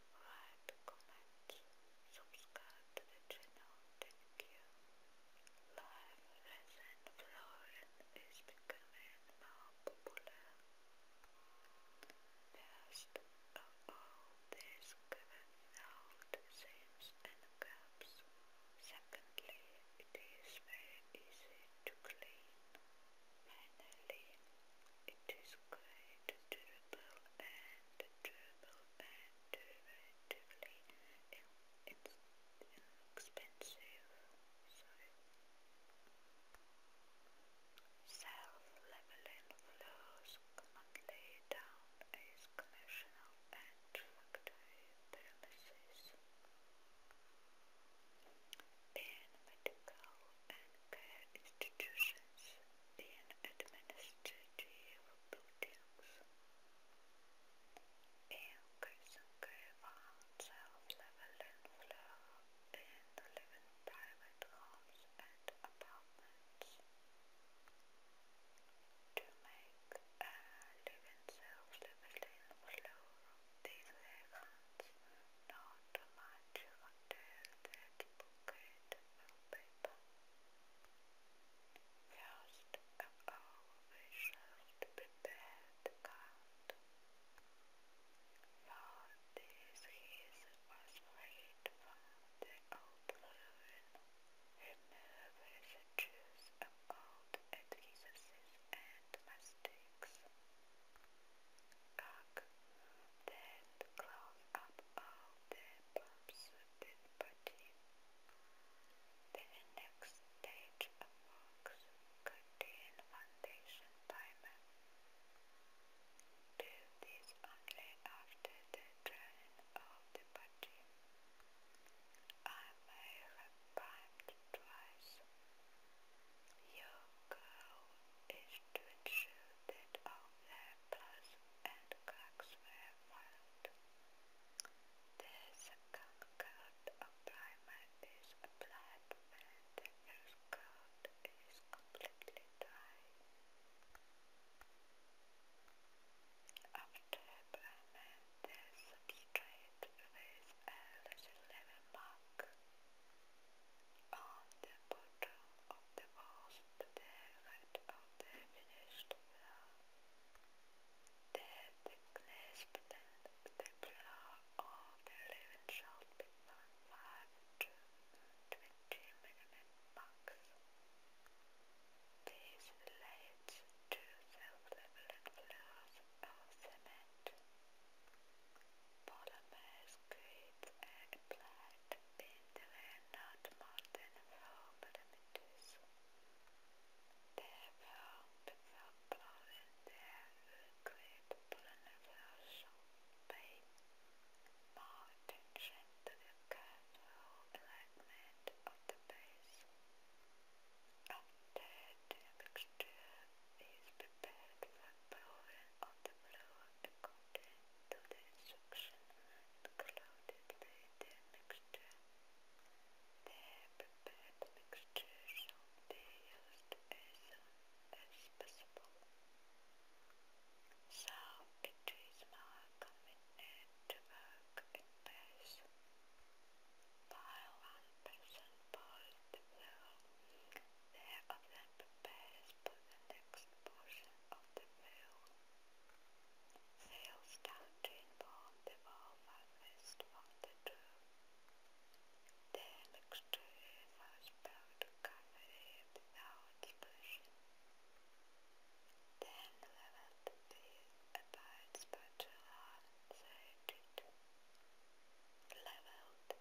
like, comment, subscribe to the channel, thank you. Live resin flooring is becoming more popular. Most of all this given out seams and gaps. Secondly, it is very easy to clean. Finally, it is great to and dribble relatively in inexpensive, so self-leveling down as commercial and factory premises. In medical and care institutions, in administrative Deus. Eu Kirsenkova self-leveling floor in the private homes and apartments. To make a living self-leveling floor, these heavens not much until that bouquet of paper. Just always have to prepare the card. For was made for the old Lurin, removing the juice of old and mistakes. Cock then close up all the pumps this body. The next stage of works contain foundation primer. Do this only after the drying of the body. I have primed twice. Your goal is to ensure that all the temples and cracks were marked. The second coat of primer is applied when the first is completely dry. After primer, the substrate with a little level on the bottom of the walls to and of the finished floor. the clasped the floor the living shall be from 5 to 20 minimum marks. This relates to self-leveling floors of cement. Polymers create a might have been not more than four parameters. They're found for plotting their liquid proliferation pay more attention to the careful alignment of the base. After the mixture is prepared for blowing on the blow according to the suction and clouded the mixture. They prepared mixture should be used as soon as possible. So it is more convenient to work While one person pours the flour, the other prepares the next portion of the meal. Sales doubting upon the wall harvest of the true. was built to cover it Then leveled these abides spatula inserted. Leveled the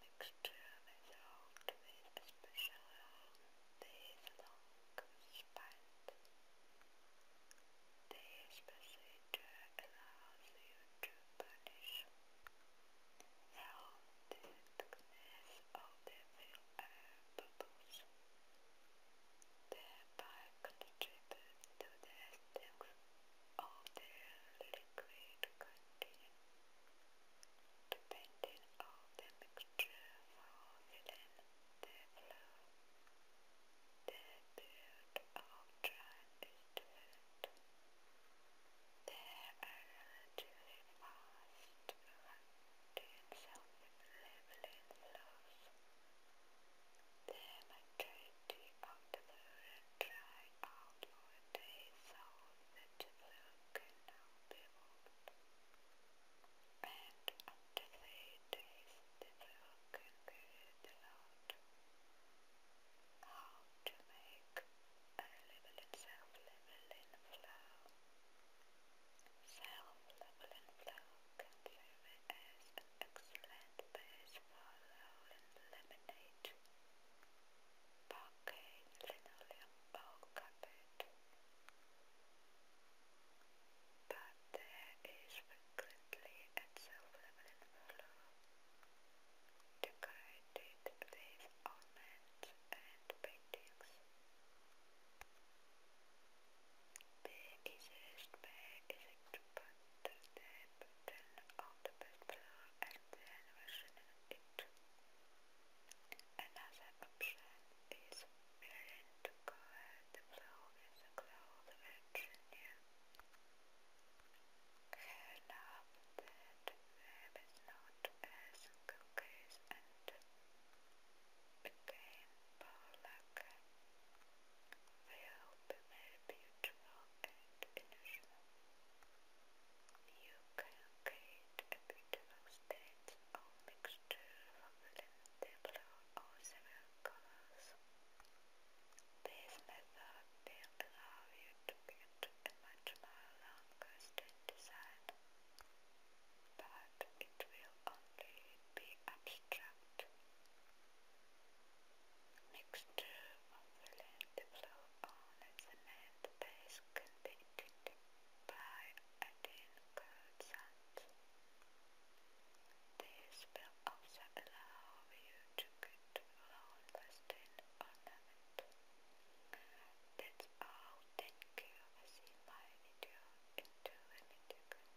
mixture with special these expand. This procedure allows you to punish how the thickness of the film air bubbles, thereby contribute to the strength of the liquid content depending on the mixture formulating the The period of time is different. There are relatively fast acting self-labeling flows. The majority of the fluid dry out for that can be moved and after three days the girl can figure it how to make a leveling self-leveling flow. Self-leveling flow can serve as an excellent base for rolling laminate, parquet, linoleum bowl cupboard. But there is frequently a silver floor, decorated with ornaments and paintings. The easiest way is to the button on the bed floor and then Another option is willing to cover the blow with a cloth engineer. Here now that not as cookies and became Polak. They will very beautiful and You beautiful state or mixture of limited blue or several colors. This method will allow you to get a much more long design, but it will only be abstract. Mixture of limited blue on the cement can be by 18 curves This will also allow you to get long lasting ornament. That's all. Thank you for my video into a video.